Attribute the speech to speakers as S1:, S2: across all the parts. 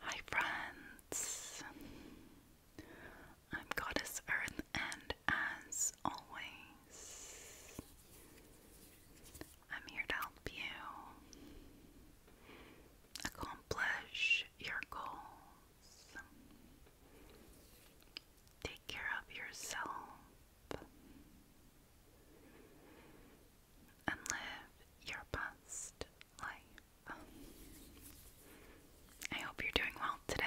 S1: Hi, friends. I'm Goddess Earth, and as always, I'm here to help you accomplish your goals. Take care of yourself and live your best life. I hope you're doing well today.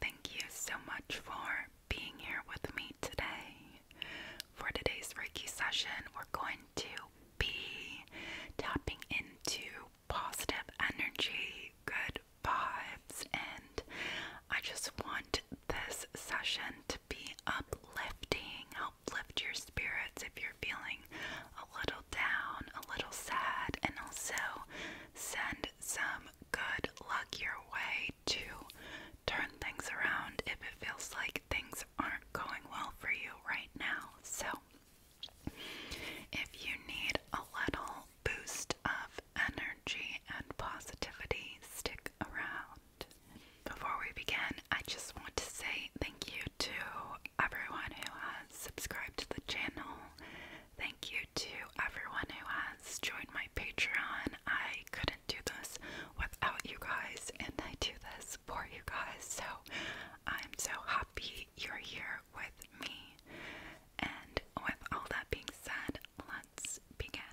S1: Thank you so much for being here with me today. For today's Reiki session, we're going to be tapping into positive energy, good vibes, and I just want this session to be uplifting, help lift your spirits if you're feeling a little down, a little sad, and also send some good luck your way to turn things around if it feels like things aren't going well for you right now. So, if you need a little boost of energy and positivity stick around. Before we begin, I just want to say thank you to everyone who has subscribed to the channel. Thank you to everyone who has joined my Patreon. I couldn't do this without you guys, and I do this for you guys, so I'm so happy you're here with me. And with all that being said, let's begin.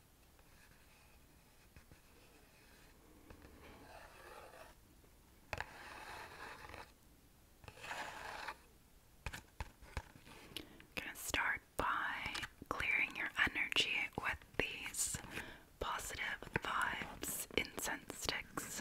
S1: I'm going to start by clearing your energy with these positive vibes incense sticks.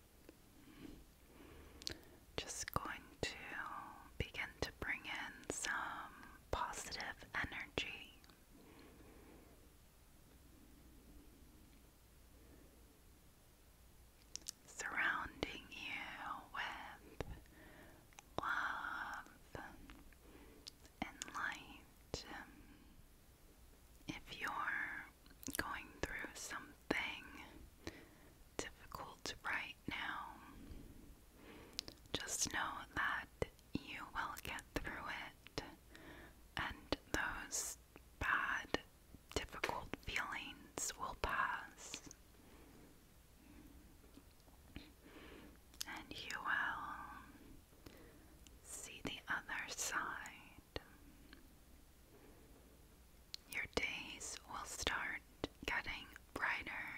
S1: Just going to begin to bring in some positive energy. Surrounding you with love and light. If you're going through something difficult right now, just know that you will get through it, and those bad, difficult feelings will pass. And you will see the other side your days will start getting brighter.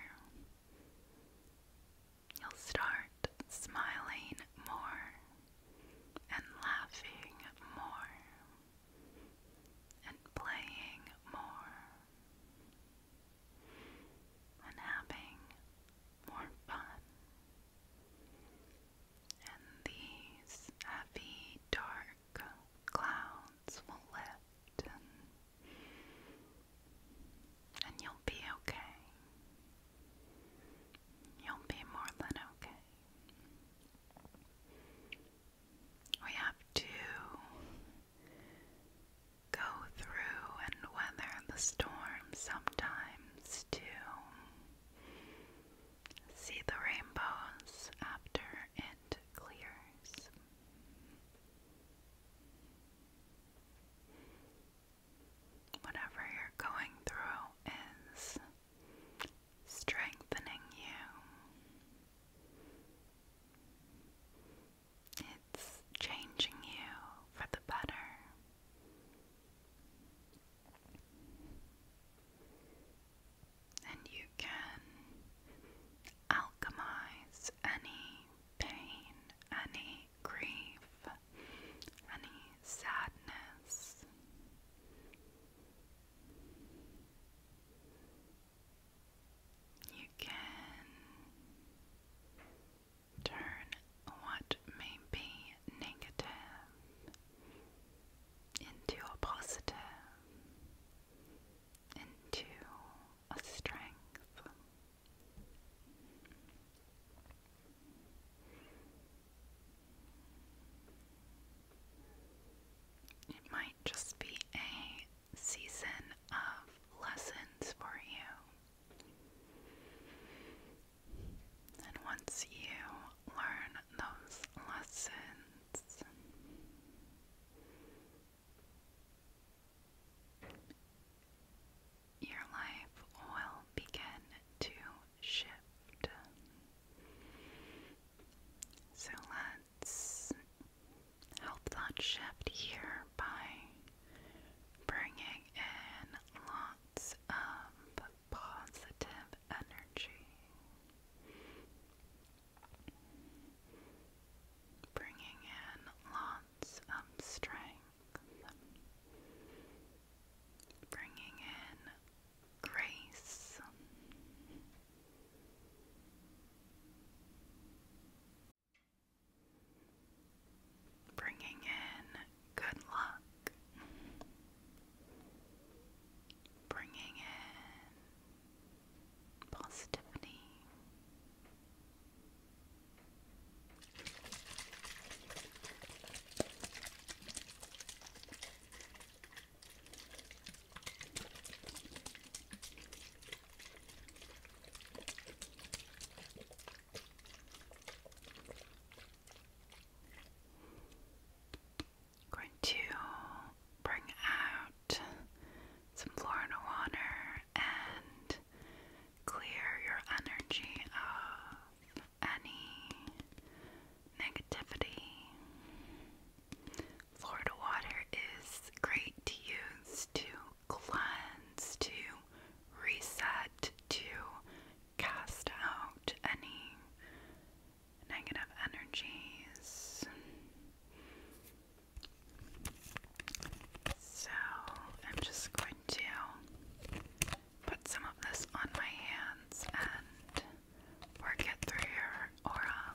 S1: You'll start smiling more and laughing more and playing more and having more fun. And these heavy, dark clouds will lift and you'll be okay. You'll be more than okay. We have to go through and weather the storm sometimes to See the rainbows after it clears. Whatever you're going through is strengthening you. It's changing you for the better and you can alchemize any pain, any grief, any sadness. You can turn what may be negative into a positive, into a strength. It might just be a season of lessons for you. And once you learn those lessons. Your life will begin to shift. So let's help that shift here by bringing in lots of positive energy, bringing in lots of strength, bringing in grace. Bringing in good luck, bringing in positivity going to bring out some Florida water and clear your energy of any negativity. Florida water is great to use to cleanse, to reset, to cast out any negative energies. So I'm just going to put some of this on my hands and work it through your aura.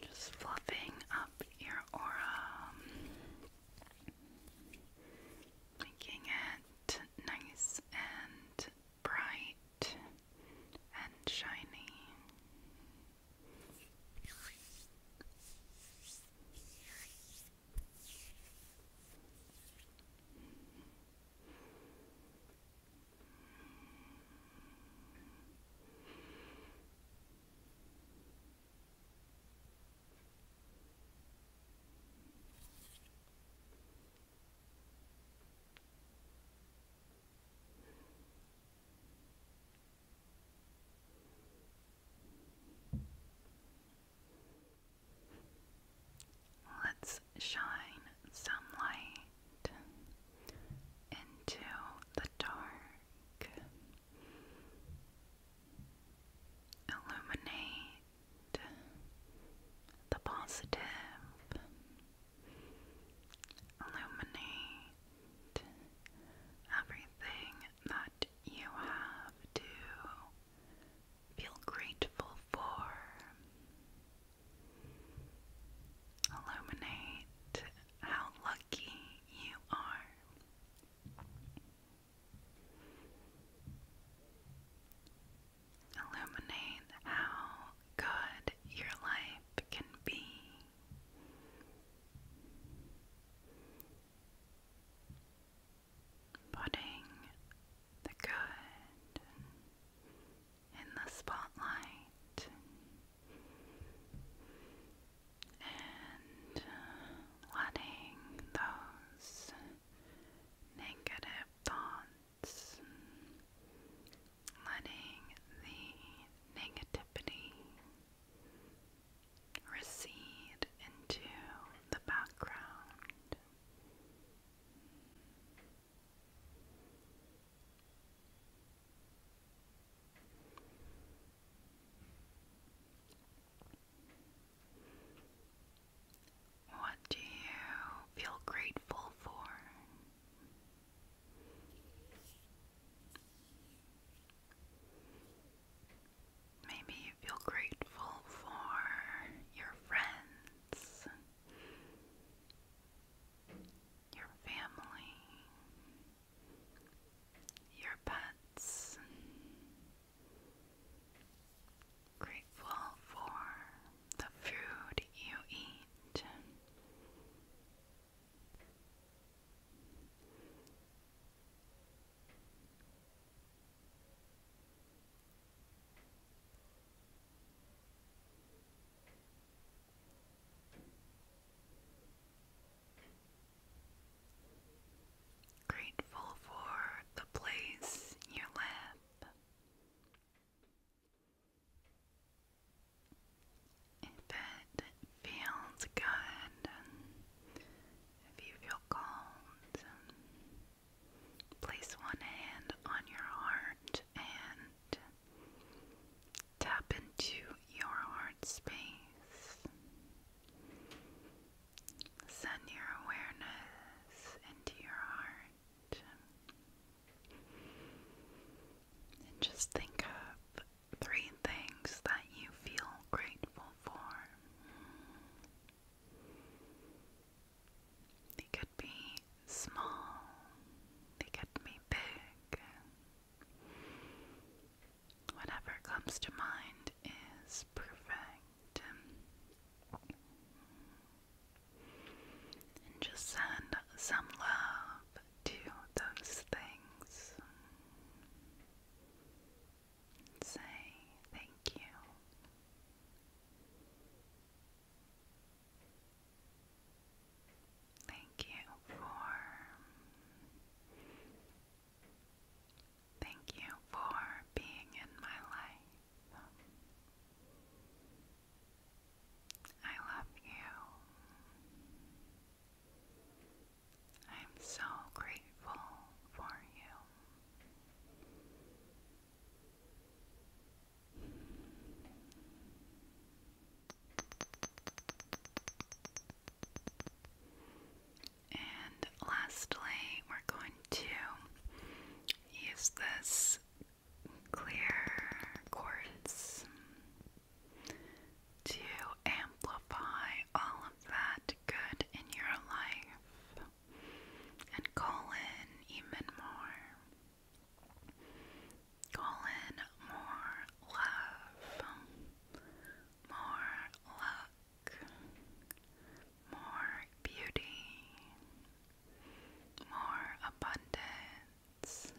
S1: Just fluffing up your aura, making it nice and bright and shiny. Let's shine some light into the dark illuminate the positive, illuminate everything that you have to feel grateful for. Illuminate how lucky you are. Illuminate how good your life can be. Putting the good in the spotlight and uh, letting those negative thoughts, letting the negativity recede into the background. What do you feel grateful for? Maybe you feel grateful for your friends, your family, your pets grateful for the food you eat Grateful Grateful for the place you live. If it feels good, if you feel called, place one hand on your heart and Tap into your heart space. Send your awareness into your heart. And just think of three things that you feel grateful for. They could be small, they could be big whatever comes to mind is perfect. And just send some love to those things. say thank you. Thank you for Thank you for being in my life. I love you. I'm so grateful for you. And lastly, we're going to use this clear quartz to amplify all of that good in your life and call in even more. Call in more love more luck, more beauty, more abundance,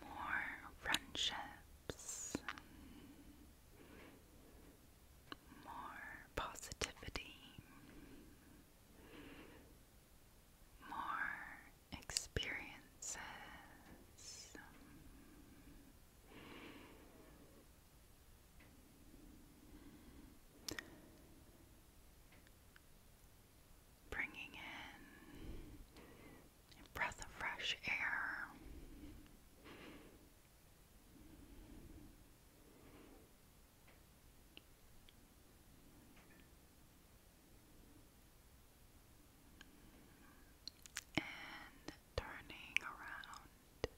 S1: more friendships, more positivity, more experiences. Bringing in a breath of fresh air and turning around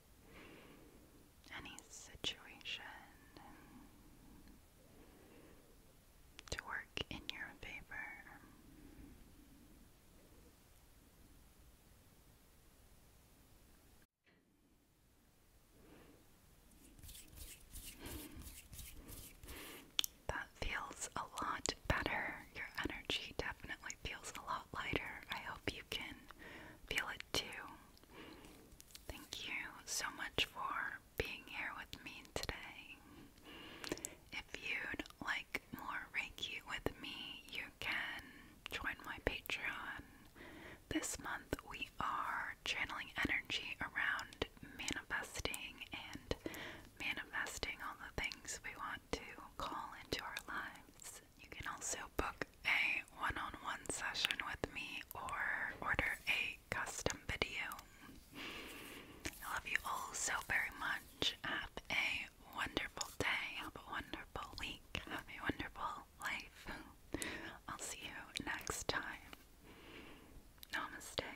S1: any situation to work in your favor. That feels a lot better. Your energy definitely feels a lot lighter. I hope you can feel it too. Thank you so much for being here with me today. If you'd like more Reiki with me, you can join my Patreon. This month we are channeling energy around manifesting and manifesting all the things we want to call into our lives. You can also book a one on one session with me or order a custom video. I love you all so very much. Have a wonderful day. Have a wonderful week. Have a wonderful life. I'll see you next time. Namaste.